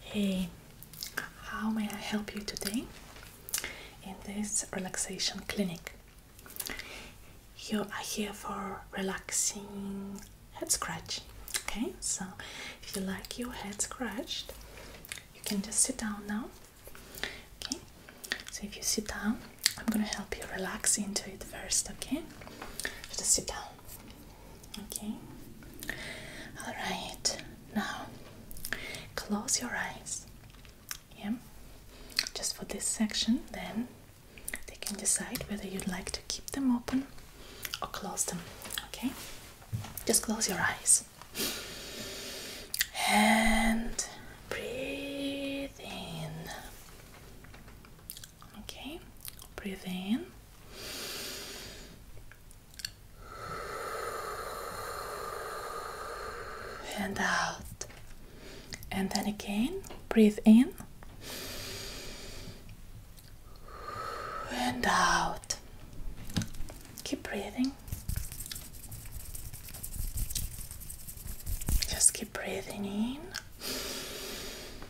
Hey, how may I help you today in this relaxation clinic? You are here for relaxing head scratch. Okay, so if you like your head scratched, you can just sit down now. Okay, so if you sit down, I'm gonna help you relax into it first. Okay, just sit down. Okay. All right. Now close your eyes. Yeah. Just for this section, then they can decide whether you'd like to keep them open or close them. Okay. Just close your eyes. And breathe in. Okay. Breathe in and out and then again breathe in and out keep breathing just keep breathing in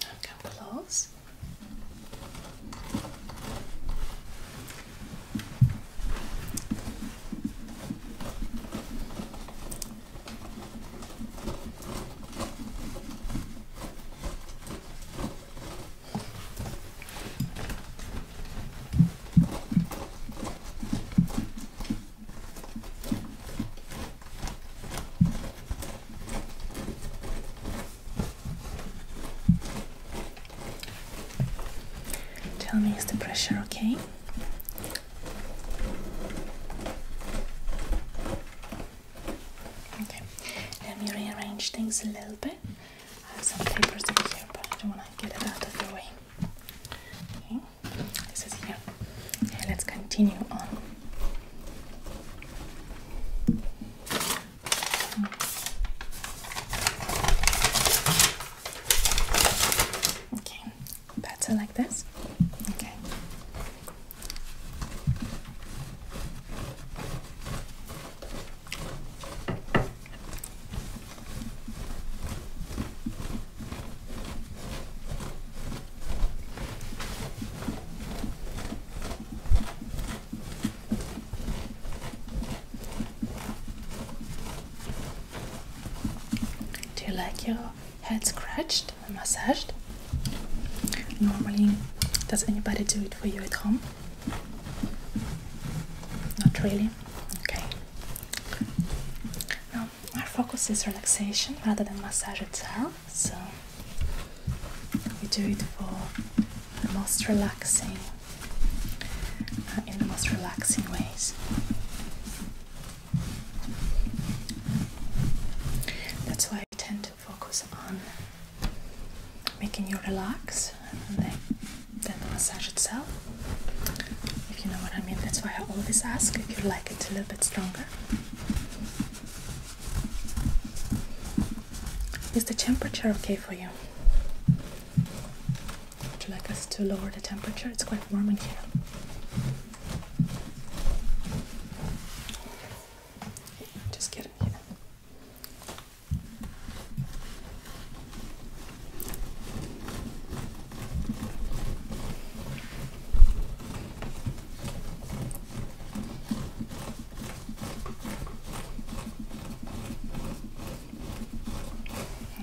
come close. Tell me is the pressure okay? Okay, let me rearrange things a little bit. I have some papers over here, but I don't want to get it out of the way. this is here. let's continue on. Okay, better like this. Okay. Do you like your head scratched and massaged? Normally, does anybody do it for you at home? Not really? Okay. Now, our focus is relaxation rather than massage itself so we do it for the most relaxing, uh, in the most relaxing ways. That's why I tend to focus on making you relax and then, then the massage itself. If you know what I mean, that's why I always ask if you like it a little bit stronger. Is the temperature okay for you? Would you like us to lower the temperature? It's quite warm in here. Just get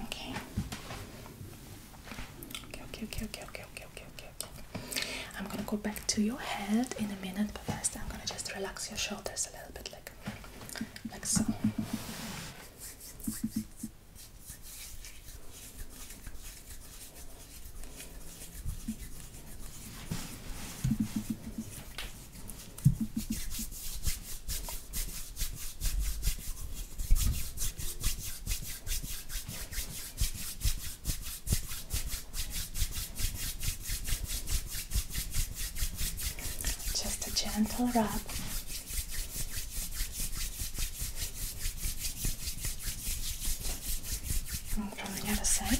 Okay. Okay, okay, okay, okay, okay, okay, okay, I'm gonna go back to your head in a minute, but first I'm gonna just relax your shoulders a little bit, like, like so. Just a gentle rub. And from the other side.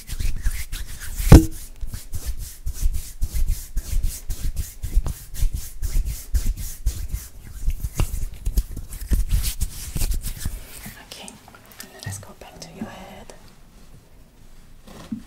Okay, and then let's go back to your head. Okay.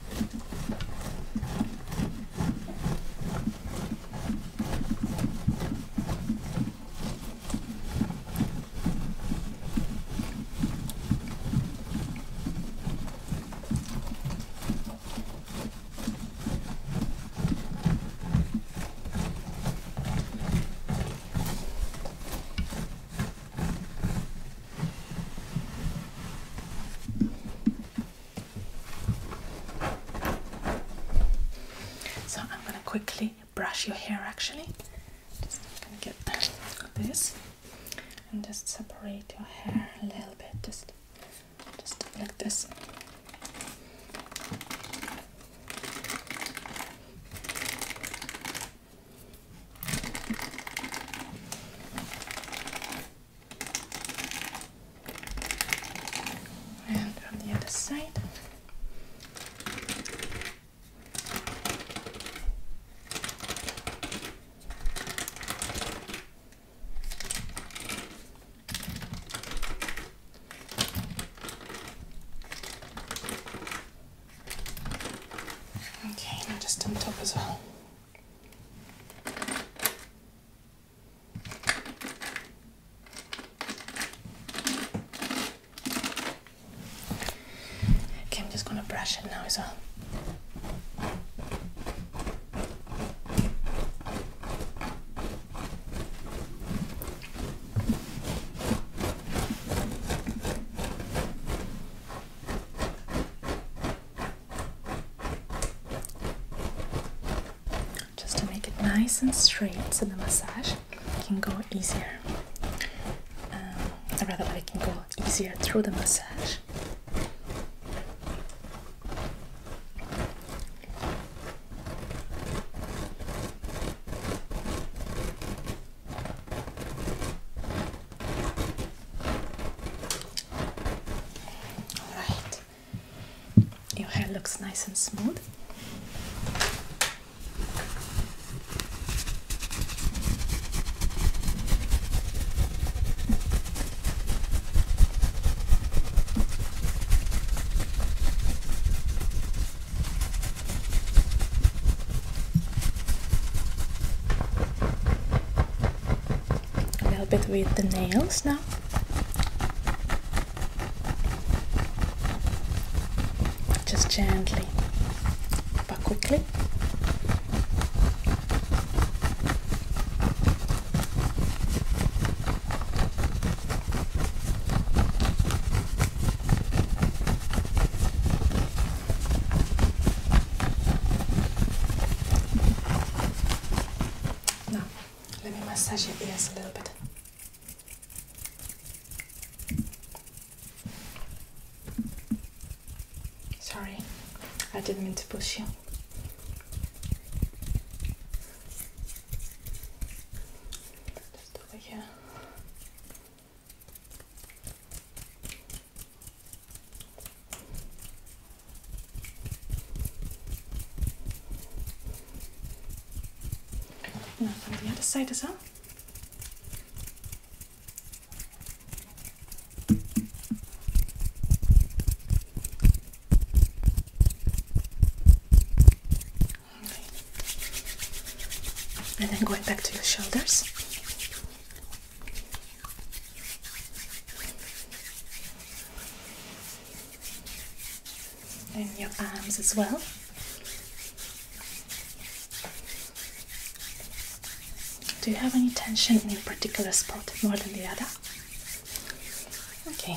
So I'm going to quickly brush your hair actually. Just get this and just separate your hair a little bit, just just like this. And on the other side. Okay, now just on top as well. Okay, I'm just gonna brush it now as well. Just to make it nice and straight to the massage can go easier. Um, rather, I can go easier through the massage. All right, your hair looks nice and smooth. A little bit with the nails now. Just gently but quickly. Now, let me massage your ears a little bit. Sorry, I didn't mean to push you. Just over here. Now from the other side as well. And then going back to your shoulders. And your arms as well. Do you have any tension in a particular spot more than the other? Okay.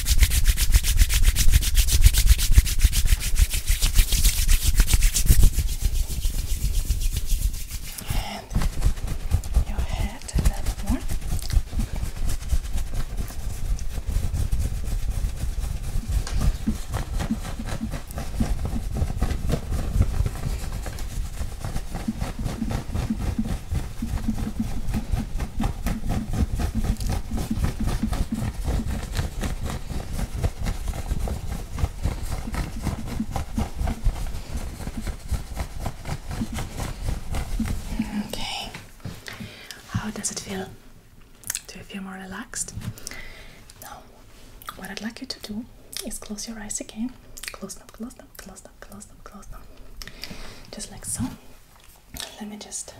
And your head a little more. Okay. How does it feel? Do you feel more relaxed? Now, what I'd like you to do is close your eyes again. Close them, close them, close them, close them, close them. Just like so. Let me just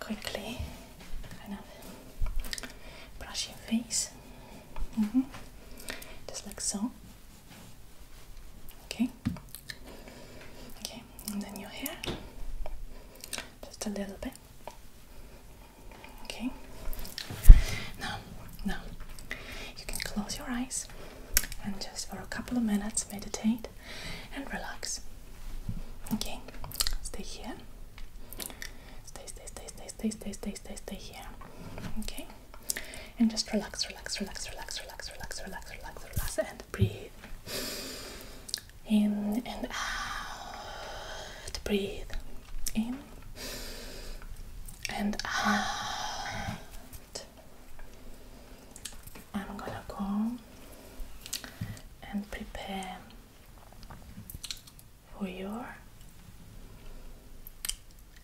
quickly brush your face mm-hmm. just like so okay okay and then your hair just a little bit okay now now you can close your eyes and just for a couple of minutes meditate and relax. Okay, stay here. Stay, stay, stay, stay, stay, stay, stay, stay, stay here. Okay, and just relax, relax, relax, relax, relax, relax, relax, relax, relax, and breathe in and out. Breathe in and out. I'm gonna go and prepare for your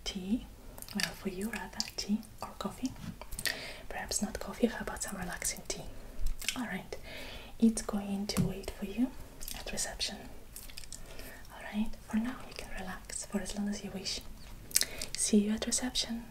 tea. Well, for you rather, tea or coffee. Perhaps not coffee, how about some relaxing tea? Alright, it's going to wait for you at reception. Alright, for now you can relax for as long as you wish. See you at reception.